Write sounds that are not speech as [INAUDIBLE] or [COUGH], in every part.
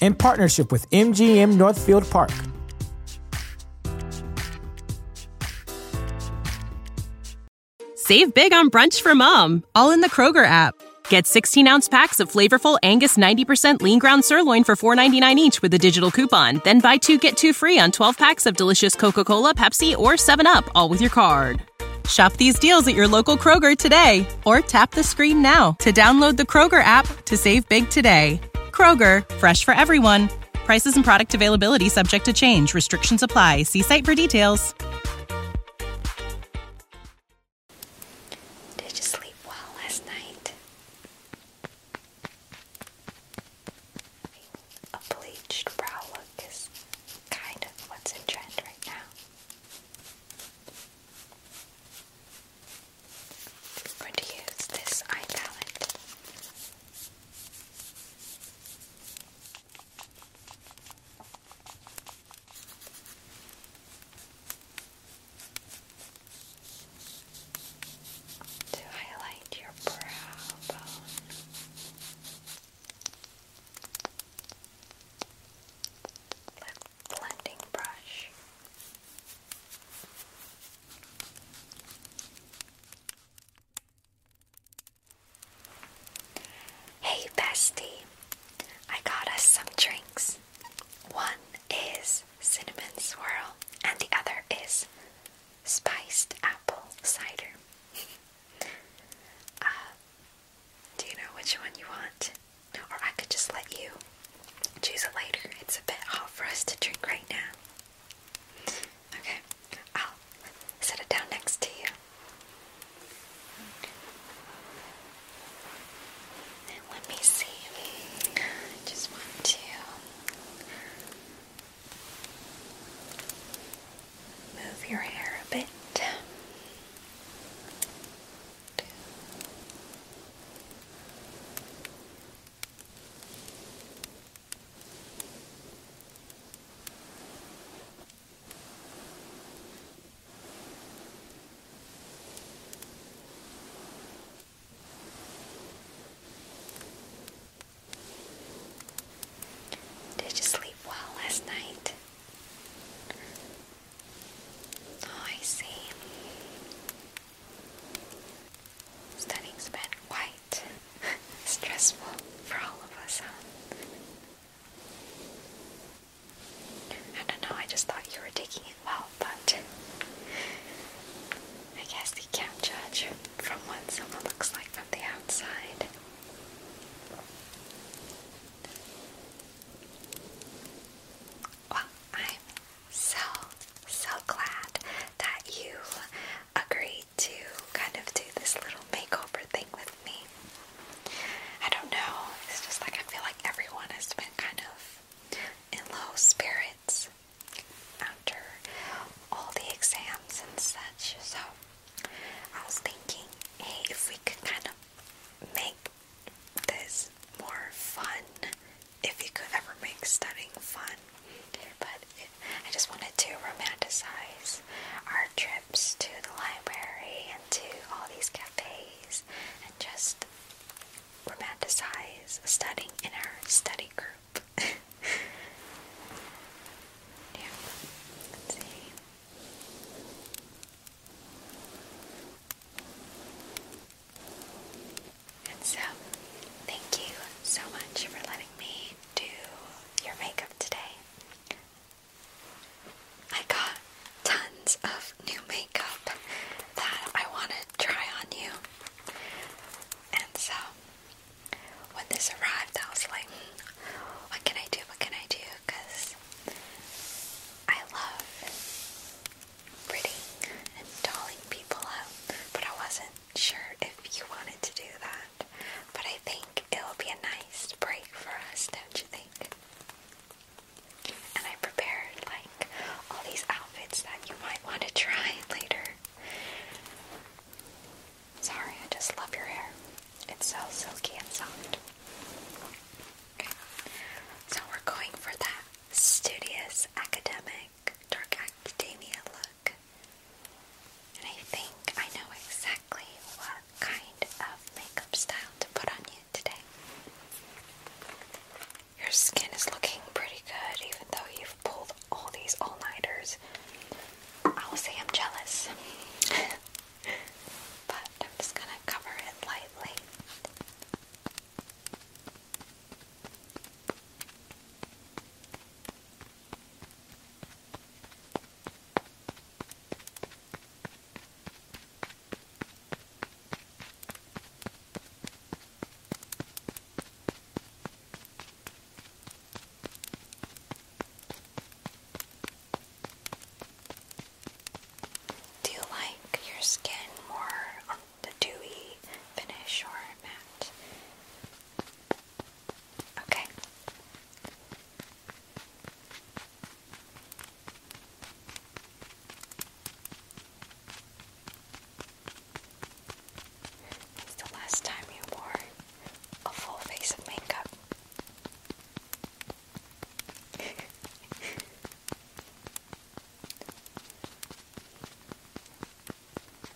in partnership with MGM Northfield Park. Save big on brunch for mom, all in the Kroger app. Get 16 ounce packs of flavorful Angus 90% lean ground sirloin for $4.99 each with a digital coupon. Then buy two get two free on 12 packs of delicious Coca Cola, Pepsi, or 7UP, all with your card. Shop these deals at your local Kroger today or tap the screen now to download the Kroger app to save big today. Kroger, fresh for everyone. Prices and product availability subject to change. Restrictions apply. See site for details. Did you sleep well last night? A bleached brow look is kind of what's in trend right now. I'm going to use this eye palette. To highlight your brow bone. Blending brush. Hey, bestie, I got us some drinks. One is cinnamon swirl, and the other is spiced apple cider. [LAUGHS] Uh, do you know which one you want? Or I could just let you choose it later. It's a bit hot for us to drink right now. Okay, I'll set it down next to you. let me see. I just want to move your hair a bit. Did you sleep well last night? Oh, I see. Studying's been quite [LAUGHS] stressful for all of us, I don't know, I just thought you were taking it well, but I guess you can't judge from what someone looks like from the outside. Well, I'm so, so glad that you agreed to kind of do this little makeover thing with me. I don't know, it's just like I feel like everyone has been kind of in low spirits after all the exams and such, so I was thinking, hey, if we could kind of make this more fun, if you could ever make studying fun. But I just wanted to romanticize our trips to the library and to all these cafes and just romanticize studying in our study group. [LAUGHS] yeah, and so, thank you so much for letting me do your makeup today. I got tons of new makeup that I want to try on you. And so, when this arrived, I was like, hmm, what can I do? What can I do? Because I love pretty and dolling people up, but I wasn't sure if you wanted to do that. But I think it'll be a nice break for us, don't you think? And I prepared like all these outfits that you might want to try [LAUGHS] later. Sorry, I just love your hair. It's so silky and soft. So we're going for that studious academic dark academia look. And I think I know exactly what kind of makeup style to put on you today. Your skin is looking pretty good even though you've pulled all these all-nighters. I will say I'm jealous. [LAUGHS] but I'm just gonna cover it lightly. Do you like your skin more the dewy finish or matte. Okay. It's the last time you wore a full face of makeup. [LAUGHS]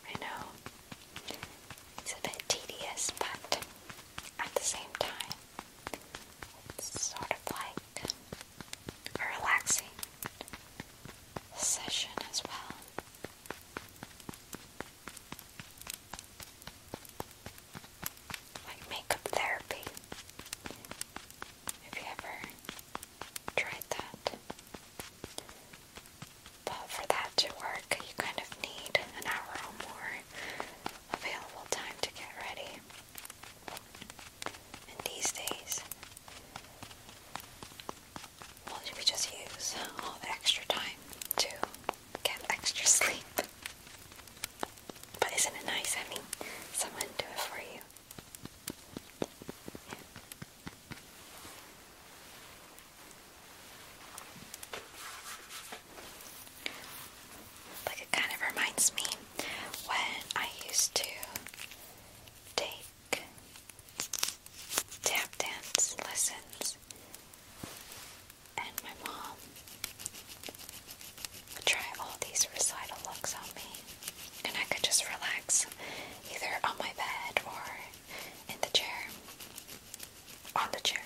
I know it's a bit tedious, but at the same time, it's sort of like a relaxing session as well. Like makeup therapy. If you ever tried that. But for that to work, you kind of need an hour or more available time to get ready. And these days, well, you just use all the extra time to get extra [LAUGHS] sleep. But isn't it nice having someone do it for you? Like it kind of reminds me when I used to take tap dance lessons and my mom would try all these recital looks on me and I could just relax either on my bed or in the chair. On the chair.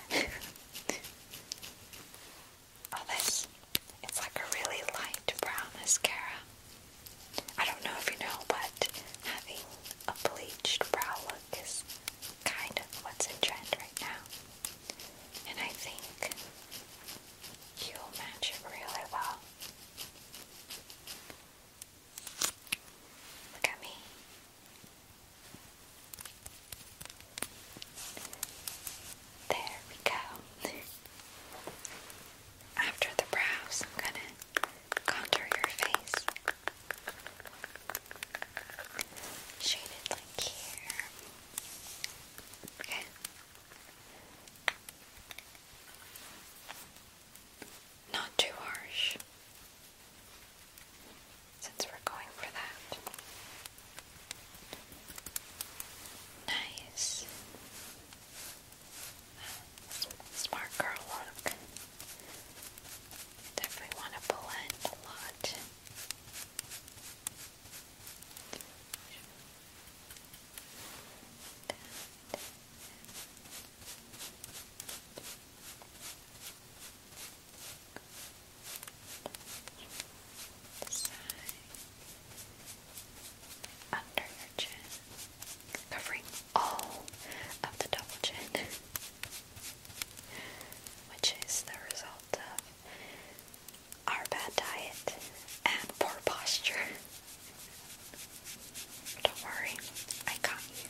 oh, [LAUGHS] this. It's like a really light brown mascara. I don't know if you know, but having a bleached brow look is kind of what's in trend right now. And I think you'll match it really well. Look at me. There we go. After the brows, I'm gonna contour your face. Shade like here. Okay. Not too harsh, since we're going for that. Nice. Smart girl look. Definitely want to blend a lot. Side. Under your chin, covering all of the double chin, which is the result of our bad diet and poor posture. Don't worry, I got you.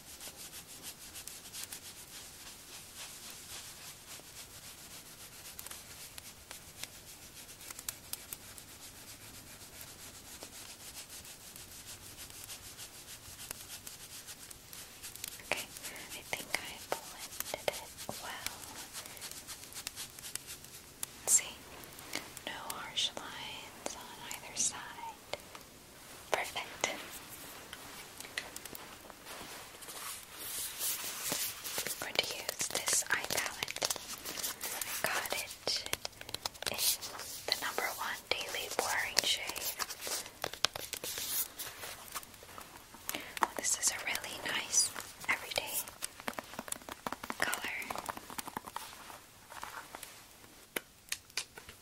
Okay, I think I blended well. see, no harsh lines on either side. Perfect. going to use this eye palette. I got it in the number one daily boring shade. this is a really nice everyday color. I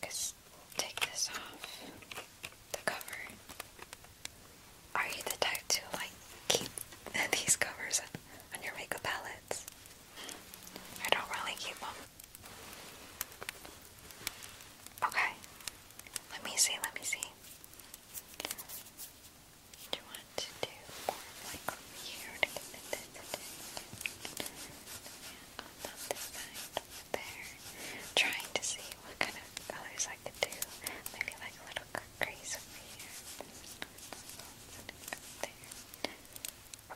could take this off the cover. Are you the type to like keep these covers on your makeup palettes? I don't really keep them. Okay. Let me see, let me see. Do you want to on this side there, trying to see what kind of colors I could do. Maybe like a little crease over here. There.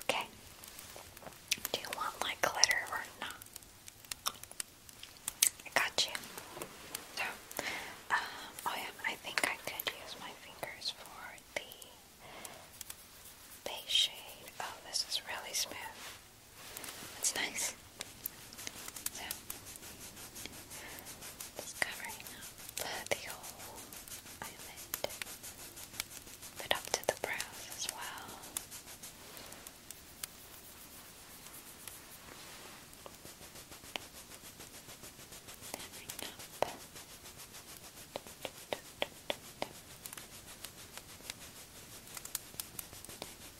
Okay. Do you want like glitter or not? I got you. So, um, oh yeah, I think I could use my fingers for the Beige shade. Oh, this is really smooth. It's nice. So, it's covering up the whole eyelid, but up to the brows as well. Then up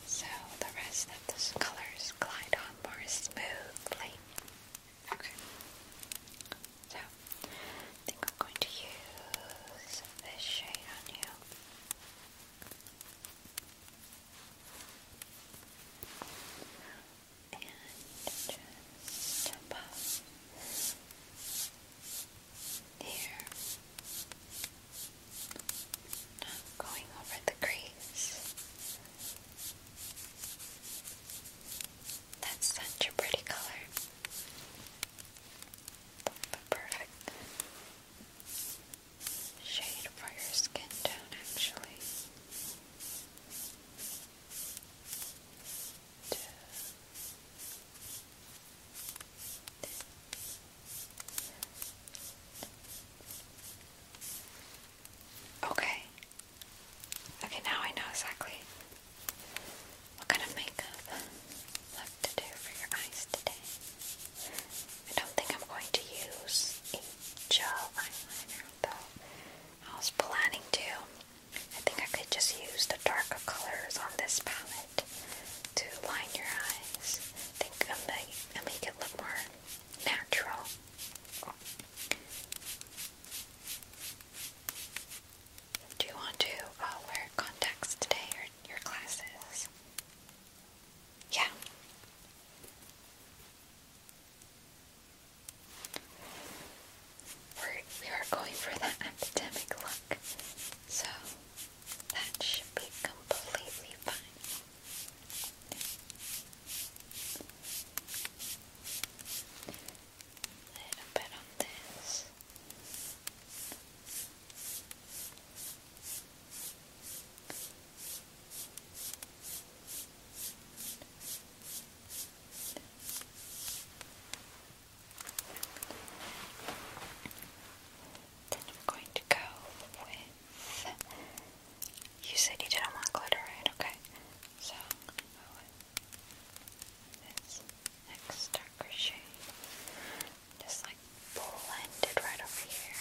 so the rest of those colors glide on more smoothly. Okay. So I think I'm going to use this shade on you. And just above here. Not going over the crease. That's such a pretty color. The perfect shade for your skin tone, actually. Okay. Okay, now I know exactly what kind of makeup left to do for your eyes today. I don't think I'm going to use a gel eyeliner, though I was planning to. I think I could just use the darker colors on this palette to line your eyes. I think i make it look more natural. Do you want to uh, wear contacts today or your glasses? Yeah. We're, we are going for that [LAUGHS] academic look. So that should be completely fine. Little bit on this. Then we're going to go with. You said you didn't want glitter, right? Okay. So I'm this next darker shade. Just like blend right over here.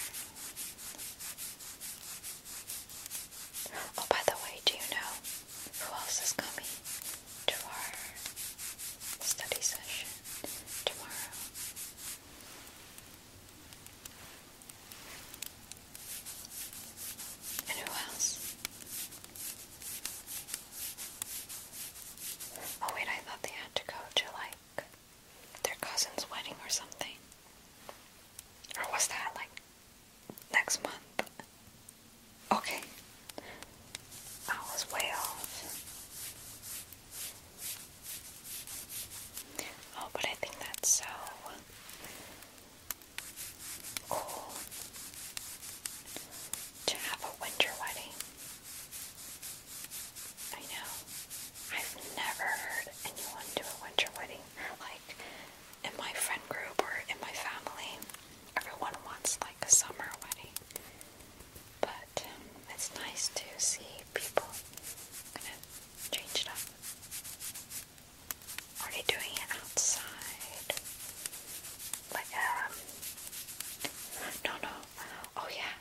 Oh, by the way, do you know who else is coming? to our study session tomorrow. And who else? Oh wait, I thought they had to go to like their cousin's wedding or something. Or was that like next month? Okay. I was way off. Oh, but I think that's so cool to have a winter wedding. I know. I've never heard anyone do a winter wedding. Like in my friend group or in my family, everyone wants like a summer wedding. But um, it's nice to see people. I'm gonna change it up. Are they doing it outside? Like, um. No, no. Oh, yeah.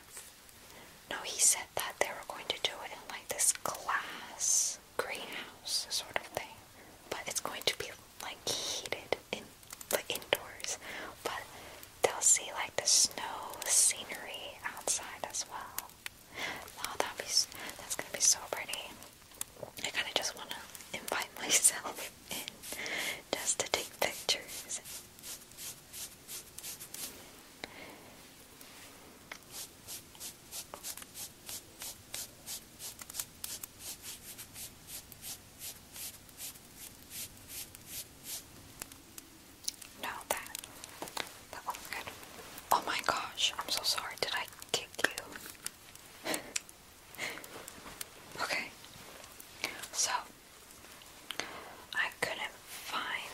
No, he said that they were going to do it in like this glass greenhouse sort of thing. But it's going to be like heated in the indoors, but they'll see like the snow scenery outside as well. Oh, that's gonna be so pretty. I kind of just want to invite [LAUGHS] myself in just to take pictures. No, that. That looks oh good. Oh my gosh, I'm so sorry. Did I kick you? [LAUGHS] okay. So, I couldn't find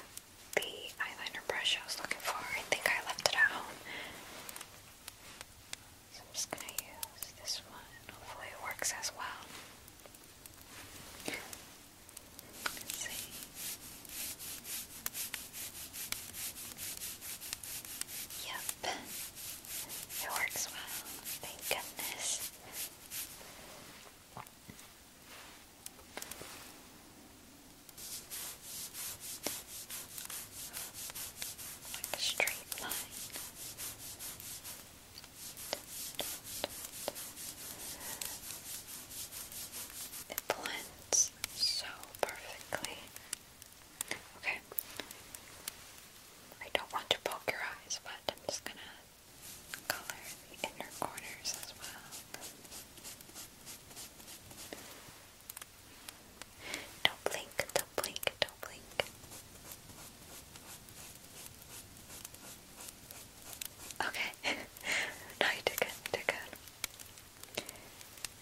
the eyeliner brush I was looking for. I think I left it at home. So I'm just gonna use this one. Hopefully it works as well see. Yep, it works well. Thank goodness. straight line. It blends so perfectly. Okay. I don't want to poke your eyes, but I'm just gonna color the inner corners as well. Don't blink, don't blink, don't blink. Okay. [LAUGHS] no, you did good. You did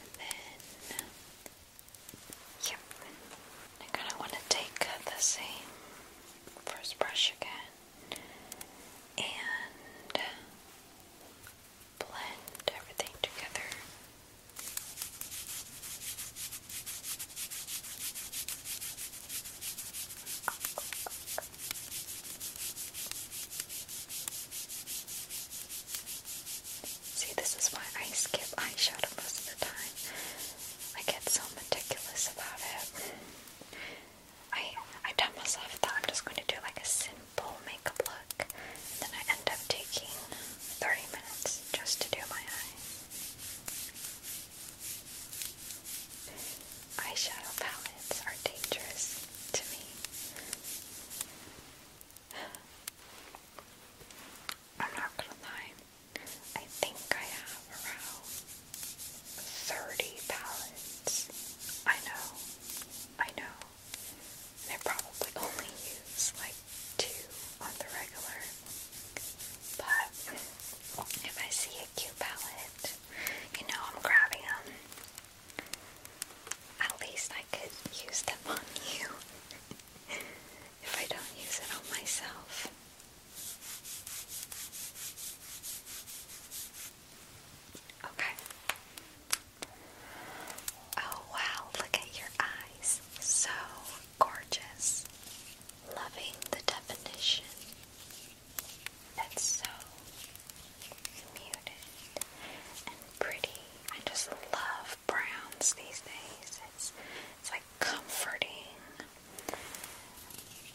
And then, um, yep. I'm going want to take the same first brush again and uh, blend everything together. See, this is why I skip eye shadow most of the time. I get so meticulous about it. I I tell myself that I'm just going to do like a simple makeup look, and then I end up taking 30 minutes just to do my eyes. Eyeshadow palettes are dangerous to me. I'm not gonna lie, I think I have around 30 palettes. I know, I know. I probably only use like two on the regular. But if I see be palette. You know, I'm grabbing them. At least I could use them on you [LAUGHS] if I don't use it on myself. Okay. Oh wow, look at your eyes. So gorgeous loving the definition that's so muted and pretty. I just love browns these days. It's, it's like comforting,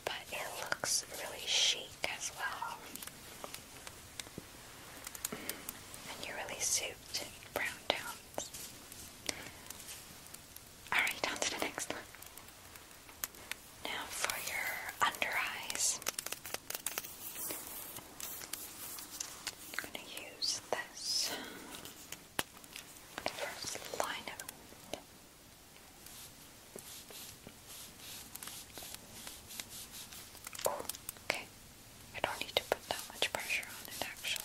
but it looks really chic as well. And you really suit brown tones. Alright, on to the next Now for your under eyes. I'm going to use this. first line oh, okay. I don't need to put that much pressure on it actually.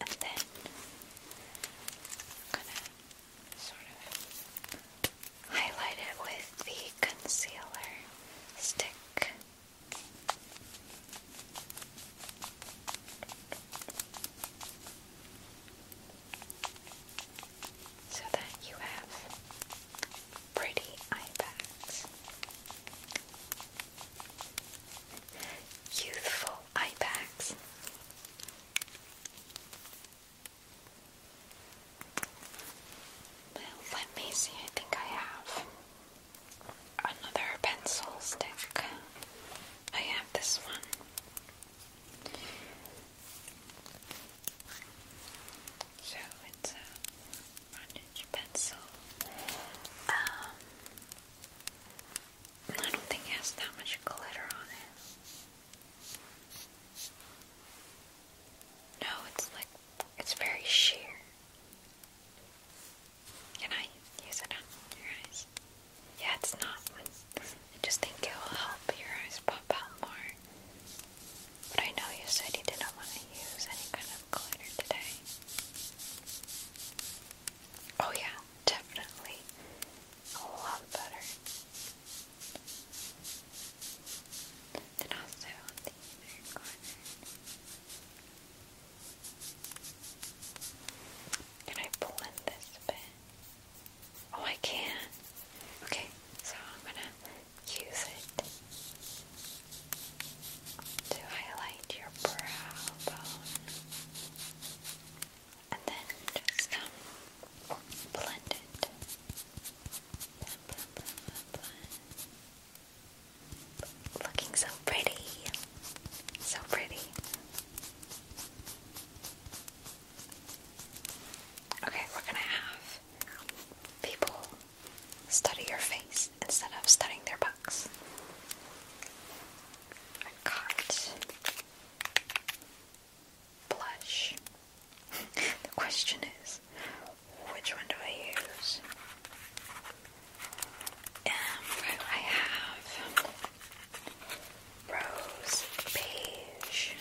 And then I'm gonna sort of highlight it with the concealer stick. So that you have pretty eye bags. Youthful eye bags. let me see. I think I have another pencil stick. I have this one. So it's a orange pencil. Um, I don't think it has that much glitter on it. No, it's like, it's very sheer. Can I use it on your eyes? Yeah, it's not. I just think it will help your eyes pop out more. But I know you said you didn't want to use any kind of today. Oh yeah, definitely a lot better. Then also on the inner corner. Can I blend this bit? Oh, I can. Okay, so I'm gonna use it to highlight your brow bone and then just um, blend it. Looking so pretty. So pretty. Okay, we're gonna have people study your face instead of studying their books. I got blush. [LAUGHS] the question is, which one do I use? Um, I have rose beige.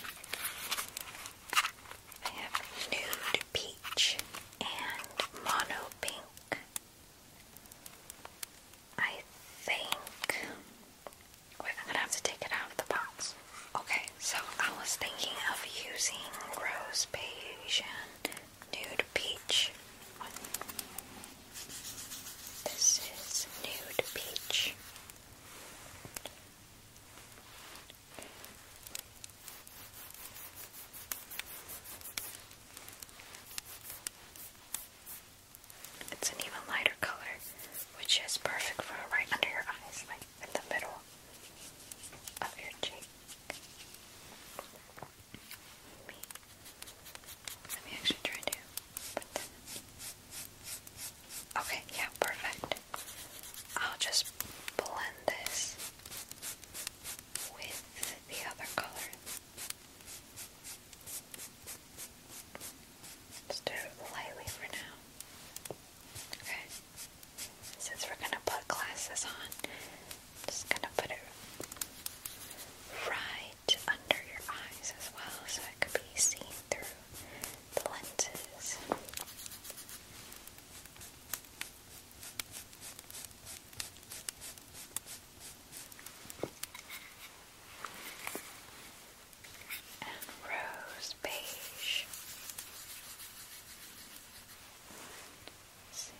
I have nude peach and mono pink. I think we're gonna have to take it out of the box. Okay, so I was thinking of using rose beige and nude peach. This is nude peach. It's an even lighter color, which is perfect for right under your eyes, like in the middle of your cheek. Let me, actually try to put Okay, yeah, perfect. I'll just blend this with the other color. Just do it lightly for now. Okay. Since we're gonna put glasses on, just gonna put it right under your eyes as well, so it could be seen through the lenses and rose beige. see.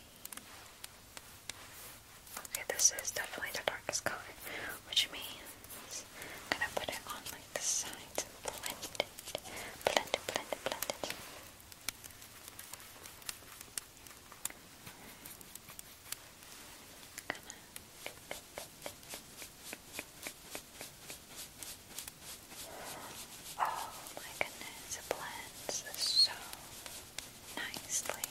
Okay, this is definitely the darkest color, which means I'm gonna put it on like the sides and blend it. Blend it, blend it, blend it going Oh my goodness, blends so nicely.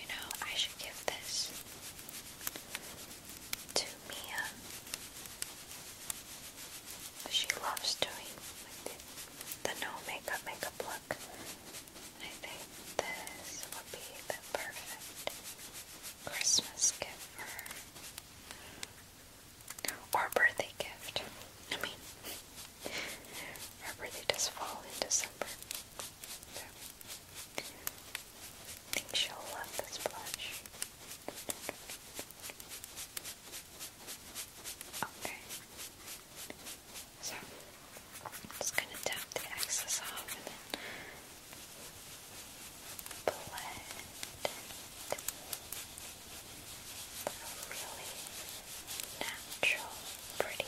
You know, I should give this to Mia she loves doing like the, the no makeup makeup look. I think this would be the perfect Christmas gift for her. Or birthday gift. I mean, her birthday does fall in December. I think she'll love this blush. Okay. So I'm just gonna tap the excess off and then blend it for a really natural, pretty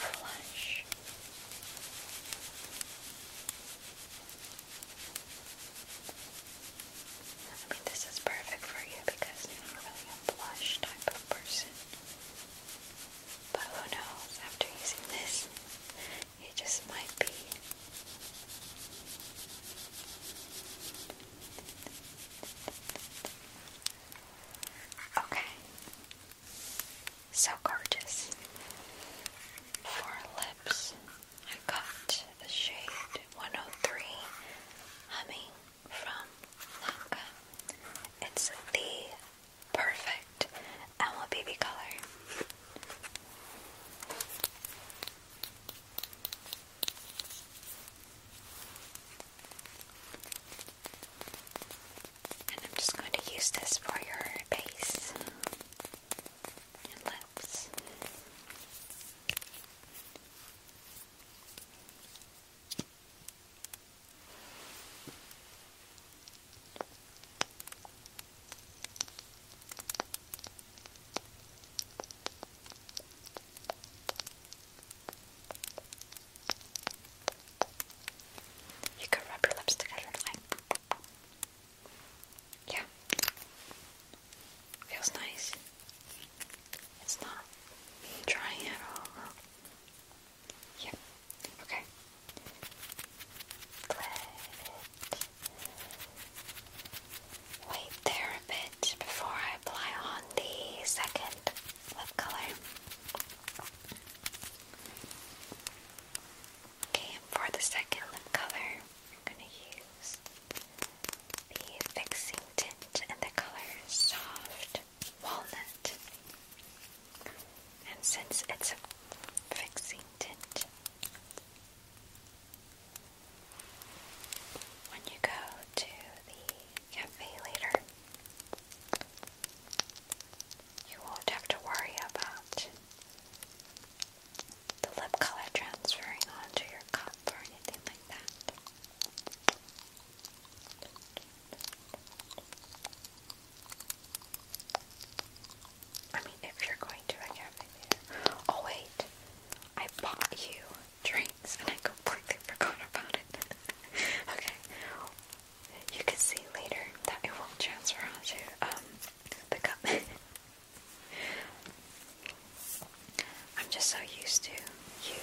flush. I mean, this is perfect for you because you're not really blush type of person. But who knows, after using this, you just might be. Okay. So gorgeous. For lips. I got the shade 103 Humming from Lanka. It's the perfect Owl Baby color. And I'm just going to use this for your base and lips. You can rub your lips together like. Yeah. Feels nice. It's not dry at all. Yep. Okay. wait there a bit before I apply on the second lip color. Okay, and for the second lip color, I'm going to use the fixing tint in the color Soft Walnut. And since it's a fixing tint, when you go to the cafe later, you won't have to worry about the lip color transferring onto your cup or anything like that. I mean, if you're going to a cafe Oh, wait. I bought you drinks and I completely forgot about it. [LAUGHS] okay. You can see later that it won't transfer onto um, the cup. [LAUGHS] I'm just so used to you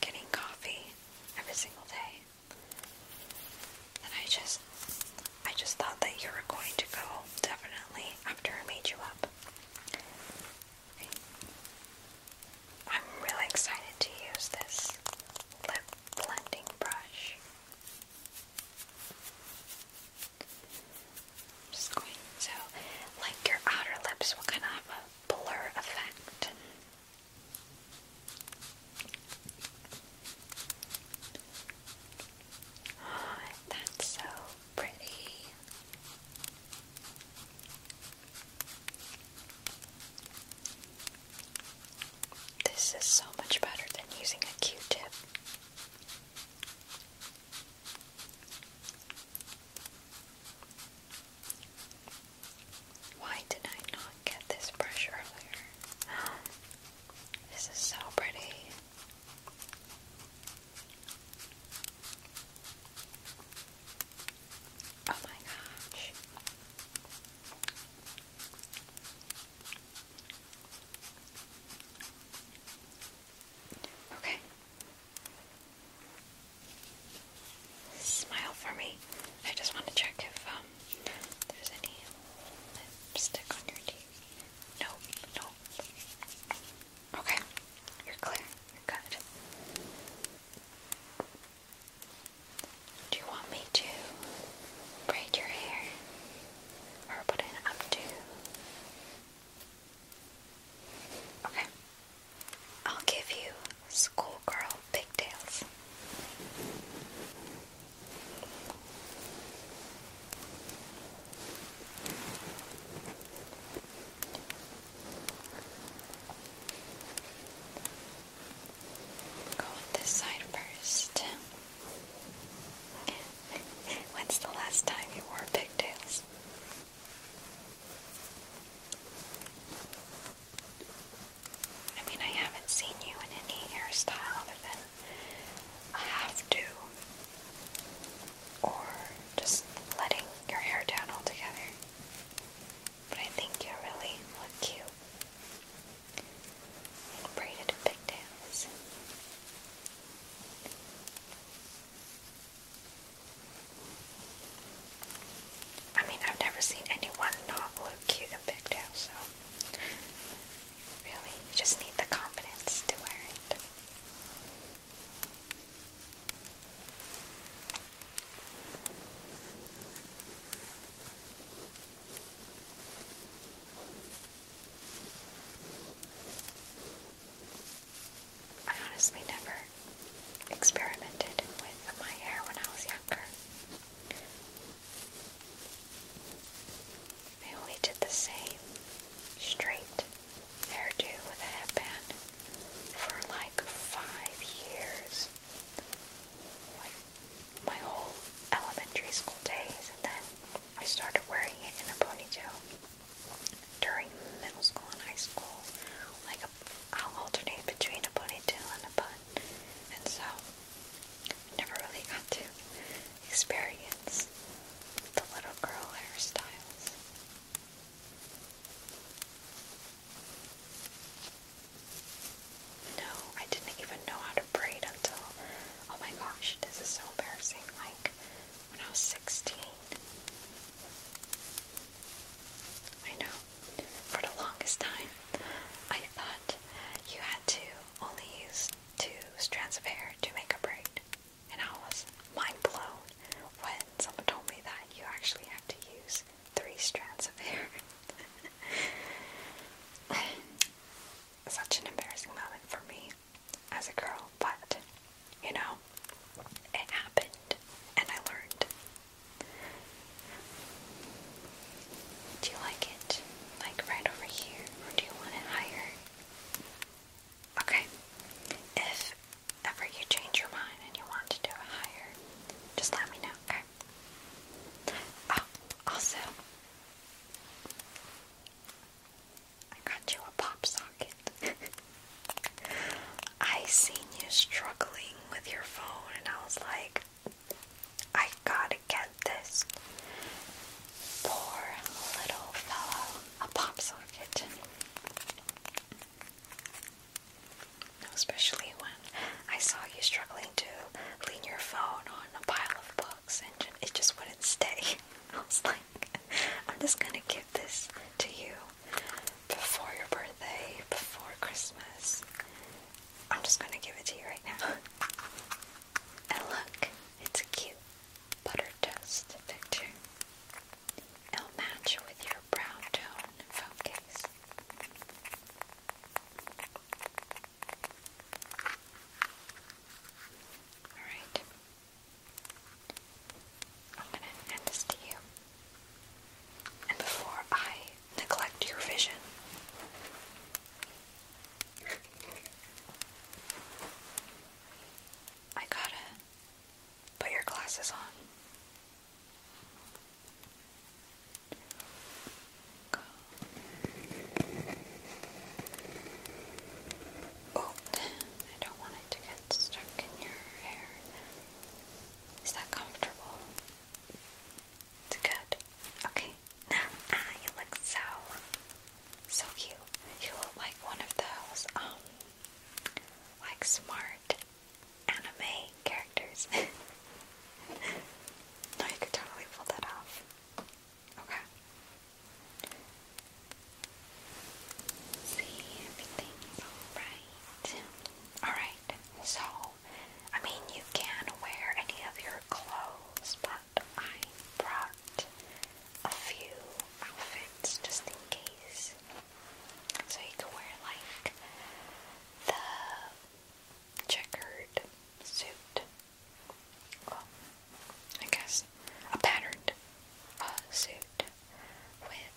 getting coffee every single day. And I just I just thought that you were going to go definitely after I made you up. I'm really excited to use this lip blending brush. Just going to, like your outer lips will kind of have a blur effect. [SIGHS] that's so pretty. This is so much better than using a Q-tip. Why did I not get this brush earlier? This is so pretty. Oh my gosh. Okay. Smile for me. I just want to check if um there's any stick on your teeth. Nope, nope. Okay, you're clear. You're good. Do you want me to braid your hair or put it up Okay. I'll give you schoolgirl pigtails. Go this side first. [LAUGHS] When's the last time you wore pigtails? I mean, I haven't seen you in any hairstyle other than have to or just letting your hair down altogether. But I think you really look cute in braided pigtails. I mean, I've never seen anyone not look cute in pigtails, so really, you just need the confidence to wear it. I honestly never experimented with my hair when I was younger. I only did the same straight hairdo with a headband for like five years. Like my whole elementary school days, and then I started wearing it in a ponytail during middle school and high school, like a, I'll alternate between a ponytail and a bun, and so never really got to experience the little girl hairstyles. No, I didn't even know how to braid until, oh my gosh, this is so embarrassing. Like, when I was 16. I know, for the longest time, I thought you had to only use two strands of hair to make a braid. And I was mind blown when someone told me that you actually have to use three strands of hair. [LAUGHS] Such an embarrassing moment for me as a girl, but you know, it happened and I learned. Do you like it? Like right over here? Or do you want it higher? Okay. If ever you change your mind and you want to do it higher, just let me know, okay? Oh, also, I got you a pop socket. [LAUGHS] I seen you struggling with your phone, and I was like, I gotta get this. Poor little fellow, a pop socket. Especially when I saw you struggling to lean your phone on a pile of books and it just wouldn't stay. [LAUGHS] I was like, I'm just gonna give this to you before your birthday, before Christmas. I'm just gonna give it to you right now. [LAUGHS] and look, it's a cute butter toast picture. It'll match with your brown tone phone case. Alright. I'm gonna hand this to you. And before I neglect your vision, I gotta put your glasses on. Go. Oh, I don't want it to get that's stuck in your hair. Is that comfortable? It's good. Okay. Ah, you look so, so cute. You look like one of those, um, like smart anime characters. [LAUGHS] no, you could totally pull that off. Okay. See, everything is alright. so, I mean, you can wear any of your clothes, but I brought a few outfits just in case. So you could wear, like, the checkered suit. Well, I guess a patterned uh, suit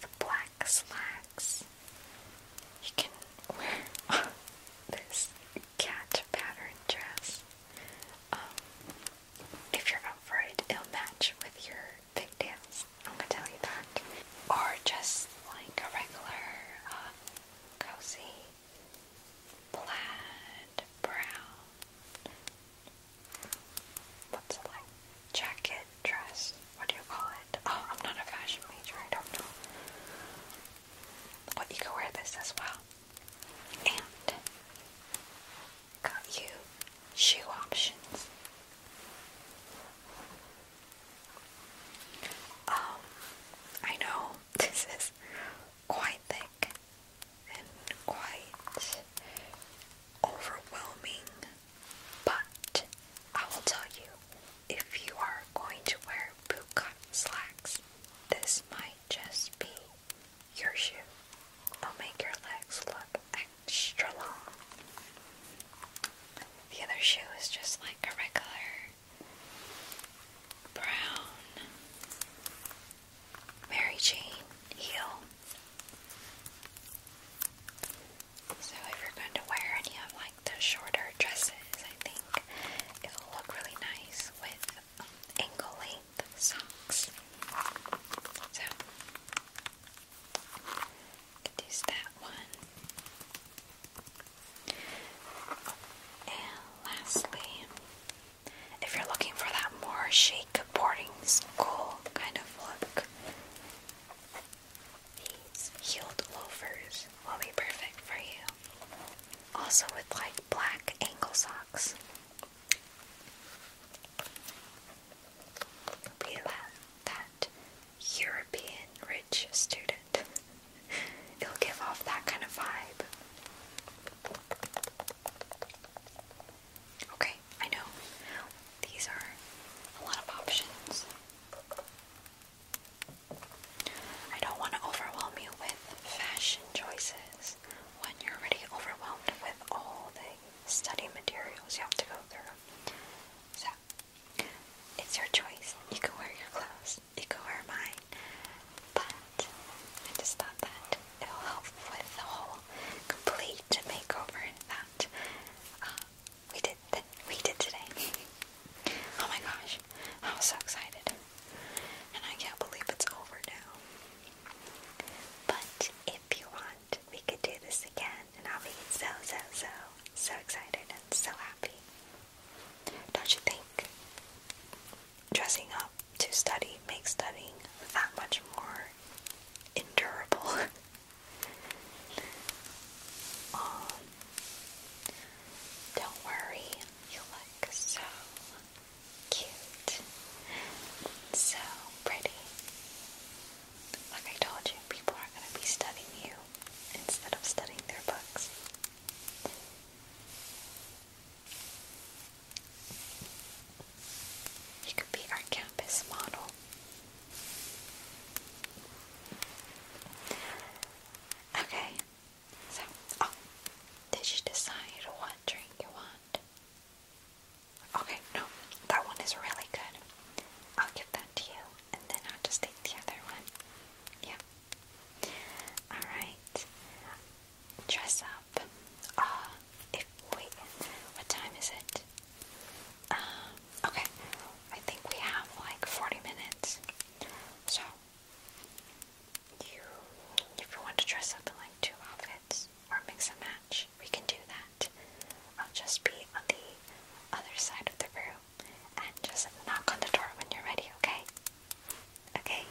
with black slacks. You can wear [LAUGHS] this cat pattern dress. Um, if you're up for it, it'll match with your pigtails. I'm gonna tell you that. Or just like a regular, um, cozy plaid brown. What's it like? jacket, dress, what do you call it? Oh, I'm not a fashion major, I don't know. But you can wear this as well. And got you shoe options. Um, I know [LAUGHS] this is quite thick and quite overwhelming but I will tell you, if you are going to wear bootcut slacks, this might just be your shoe. It'll make your legs look extra long. The other shoe is just like a regular brown Mary Jane heel. So if you're going to wear any of like the shorter dresses, I think it'll look really nice with um, ankle length socks. So use that one. Oh, and lastly, if you're looking for that more chic boarding school kind of look, these heeled loafers will be perfect for you. Also with like black ankle socks. Be that, that European rich student. [LAUGHS] It'll give off that kind of vibe. Okay, I know these are a lot of options. I don't want to overwhelm you with fashion choices when you're already overwhelmed with all the study materials you have to go through. So, it's your choice. You can wear your clothes, you can wear mine, but I just thought that it'll help with the whole complete makeover that uh, we did We did today. oh my gosh, I was so excited, and I can't believe it's over now. But if you want, we could do this again, and I'll be so so so so excited and so happy. Don't you think dressing up to study makes studying that much more endurable? [LAUGHS] don't worry, you look so cute, so pretty. Like I told you, people are going to be studying you instead of studying their books. You could be our campus model. Okay, so, oh, did you decide what drink you want? Okay, no, that one is really good. I'll give that to you, and then I'll just take the other one. Yeah. Alright. Dress up. Uh, if, wait, what time is it? Um, okay, I think we have like 40 minutes. So, if you want to dress up in like two outfits or mix and match, we can do that. I'll just be on the other side of the room and just knock on the door when you're ready, okay? Okay?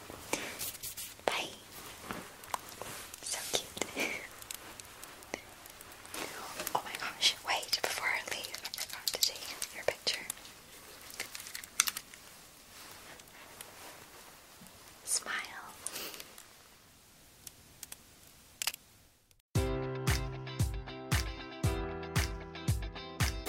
Bye! So cute. [LAUGHS] Oh my gosh, wait, before I leave, I forgot to take your picture. Smile.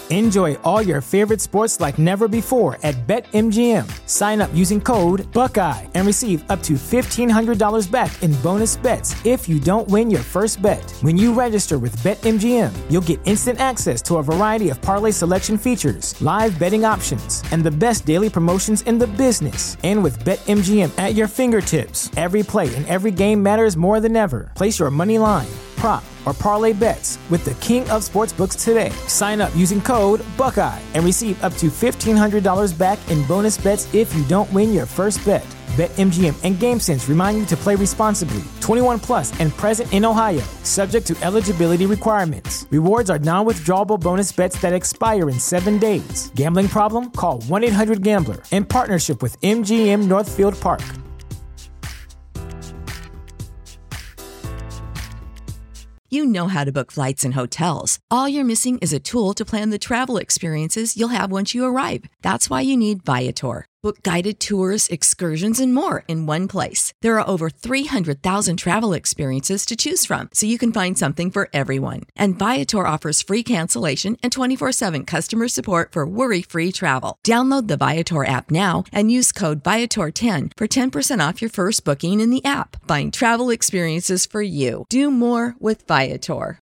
Enjoy all your favorite sports like never before at BetMGM. Sign up using code Buckeye and receive up to $1,500 back in bonus bets if if you don't win your first bet. When you register with BetMGM, you'll get instant access to a variety of parlay selection features, live betting options, and the best daily promotions in the business. And with BetMGM at your fingertips, every play and every game matters more than ever. Place your money line prop or parlay bets with the king of sportsbooks today. Sign up using code Buckeye and receive up to $1,500 back in bonus bets if you don't win your first bet. BetMGM and GameSense remind you to play responsibly. 21 plus and present in Ohio, subject to eligibility requirements. Rewards are non withdrawable bonus bets that expire in seven days. Gambling problem? Call 1 800 Gambler in partnership with MGM Northfield Park. You know how to book flights and hotels. All you're missing is a tool to plan the travel experiences you'll have once you arrive. That's why you need Viator. Book guided tours, excursions, and more in one place. There are over 300,000 travel experiences to choose from, so you can find something for everyone. And Viator offers free cancellation and 24 7 customer support for worry free travel. Download the Viator app now and use code Viator10 for 10% off your first booking in the app. Find travel experiences for you. Do more with Viator.